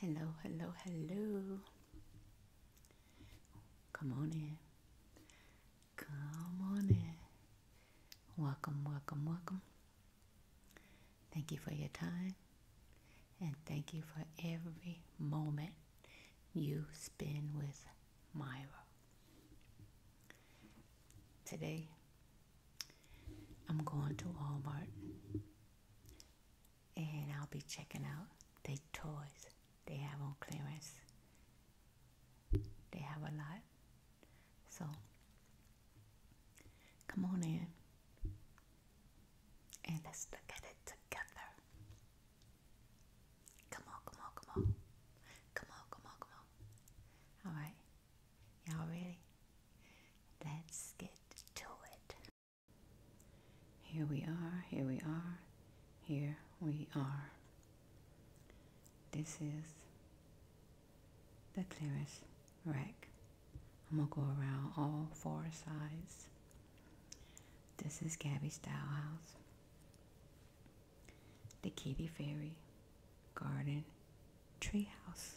Hello, hello, hello. Come on in. Come on in. Welcome, welcome, welcome. Thank you for your time. And thank you for every moment you spend with Myra. Today, I'm going to Walmart and I'll be checking out the toys they have on clearance. They have a lot. So come on in and let's look at it together. Come on, come on, come on. Come on, come on, come on. All right. Y'all ready? Let's get to it. Here we are, here we are, here we are. This is the clearest rack. I'm going to go around all four sides. This is Gabby Style House, the Kitty Fairy Garden Treehouse.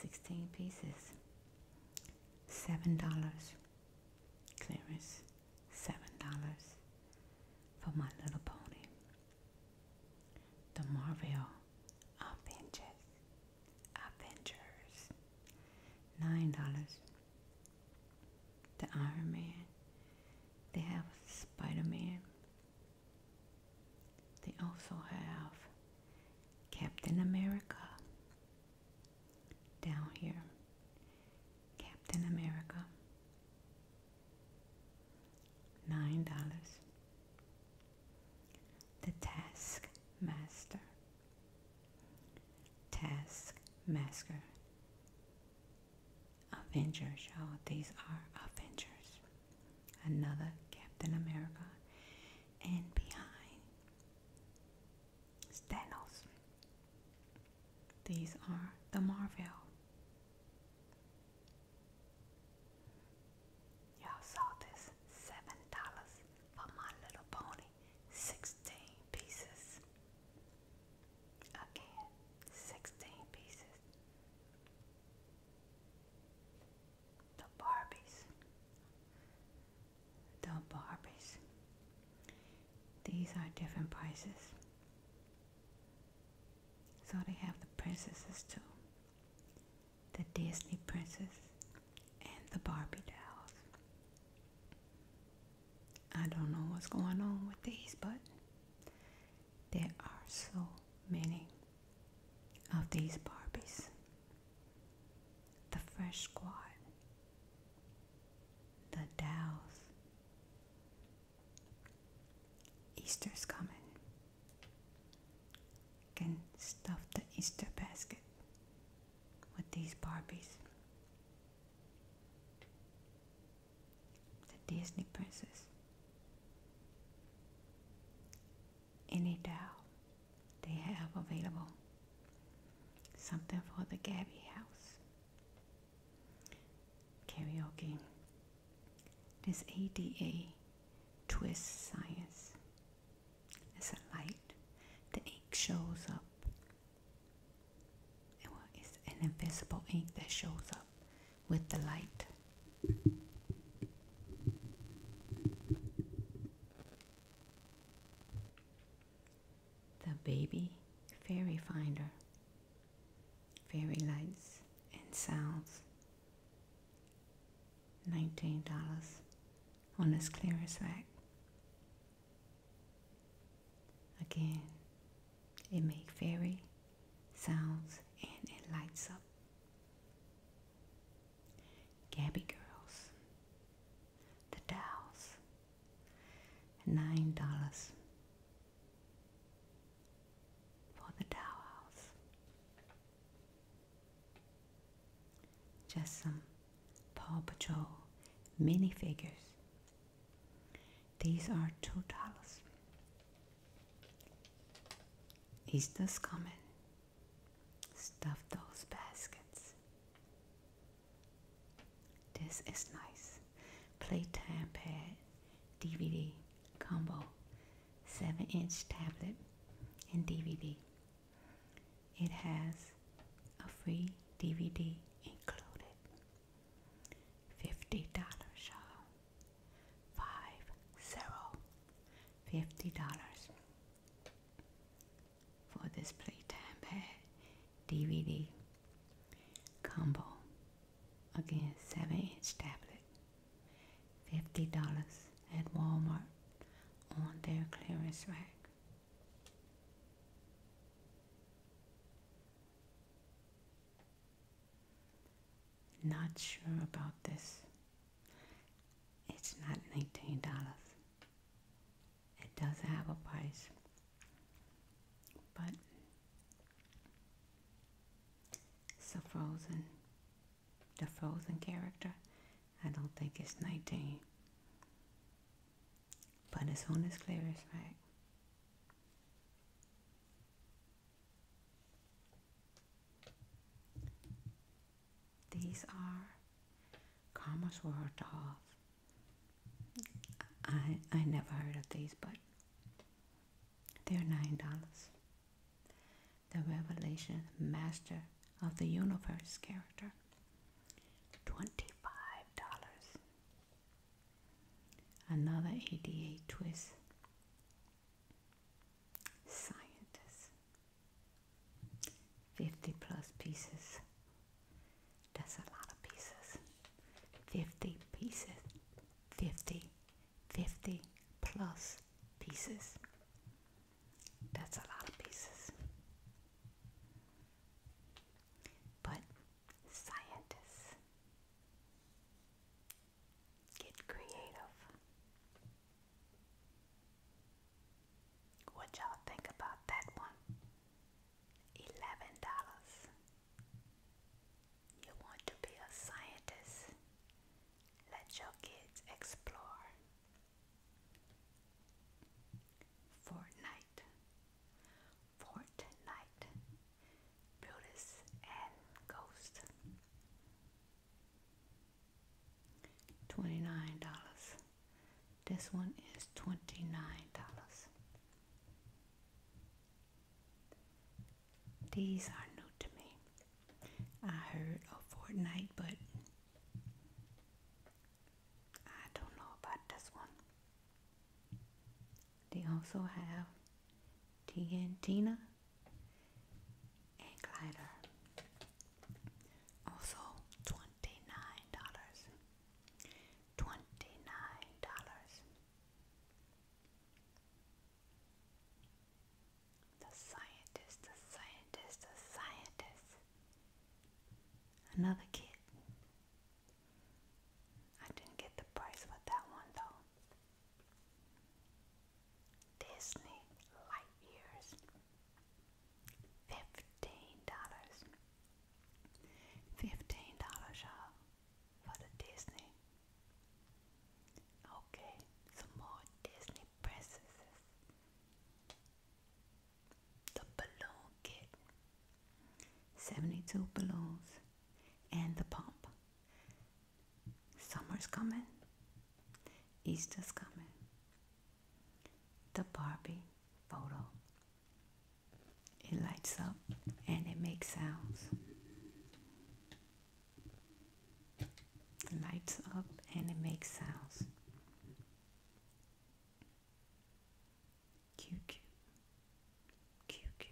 16 pieces, $7. Clearance, $7 for My Little Pony. The Marvel Avengers, Avengers, $9. The Iron Man, they have Spider Man, they also have Captain America down here. Captain America. Nine dollars. The Taskmaster. Taskmaster. Avengers, show. These are Avengers another Captain America, and behind Thanos. These are the Marvel. Y'all saw this seven dollars for my little pony, sixteen pieces. Again, sixteen pieces the Barbies. The Barbies. These are different prices. So they have the princesses too. The Disney princess and the Barbie dolls. I don't know what's going on with these, but there are so many of these Barbies. The Fresh Squad, the Dows. Easter's coming. Can stuff the Easter basket with these Barbies. The Disney princess any doll they have available. Something for the Gabby House. Karaoke. This ADA twist science. It's a light. The ink shows up. It's an invisible ink that shows up with the light. The baby fairy finder, fairy lights and sounds. $19 on this clearance rack. Again, it makes fairy sounds and it lights up. Gabby Girls, The Dolls, nine dollars for the towels. Just some Paw Patrol minifigures. These are two dollars. this coming. Stuff those baskets. This is nice. Playtime pad DVD combo. 7 inch tablet and DVD. It has a free DVD included. $50 show five zero fifty dollars for this playtime pad DVD combo again seven inch tablet fifty dollars at Walmart on their clearance rack. Not sure about this. It's not $19. It does have a price. But it's frozen, the frozen character. I don't think it's 19. But it's on clear clearance rack. These are Kammersware dolls. I, I never heard of these, but they're $9. The Revelation Master of the Universe character, $25. Another ADA twist. Scientist. 50 plus pieces. That's a lot of pieces. 50 pieces. 50. 50 plus pieces. That's a lot of pieces. But scientists get creative. What y'all think about that one? Eleven dollars. You want to be a scientist? Let your kids explore. Fortnite. Fortnite. Brutus and Ghost. $29. This one is $29. These are new to me. I heard of Fortnite, but I don't know about this one. They also have Tina and glider. Also twenty nine dollars. Twenty nine dollars. The scientist, the scientist, the scientist. Another kid. I didn't get the price for that one though. Disney light years. Fifteen dollars. Fifteen dollars, you for the Disney. Okay, some more Disney princesses. The balloon kit. Seventy-two balloons and the pump. Summer's coming, Easter's coming, the Barbie photo. It lights up and it makes sounds. lights up and it makes sounds. Q Q Q Q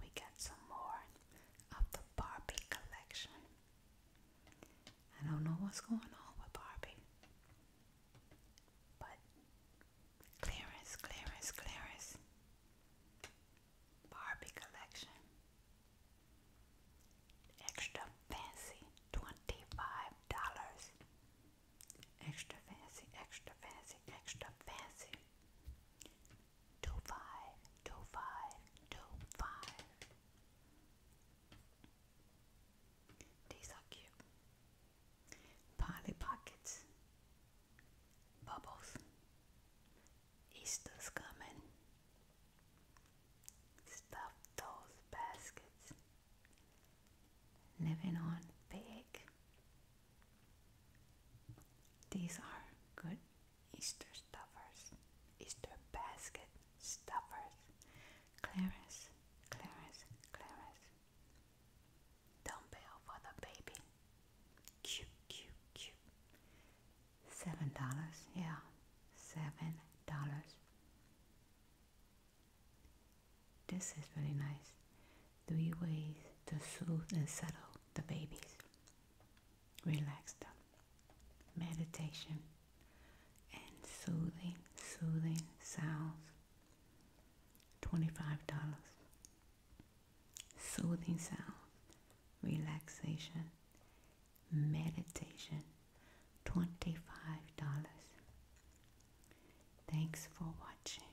we got some more of the Barbie collection. I don't know what's going on with Barbie, but clearance, clearance, clearance. Barbie collection. Extra fancy, twenty-five dollars. Extra fancy, extra fancy, extra fancy. Toe These are cute. Polly Pockets. Bubbles. Easter's coming. Stuff those baskets. Living on big. These are good Easter stuffers, Easter basket stuffers. Clarence, Clarence, Clarence. Dumbbell for the baby. Cute, cute, cute. Seven dollars, yeah, seven dollars. This is really nice three ways to soothe and settle the babies. Relax them. Meditation and soothing, soothing sounds. $25. Soothing sounds, relaxation, meditation. $25. Thanks for watching.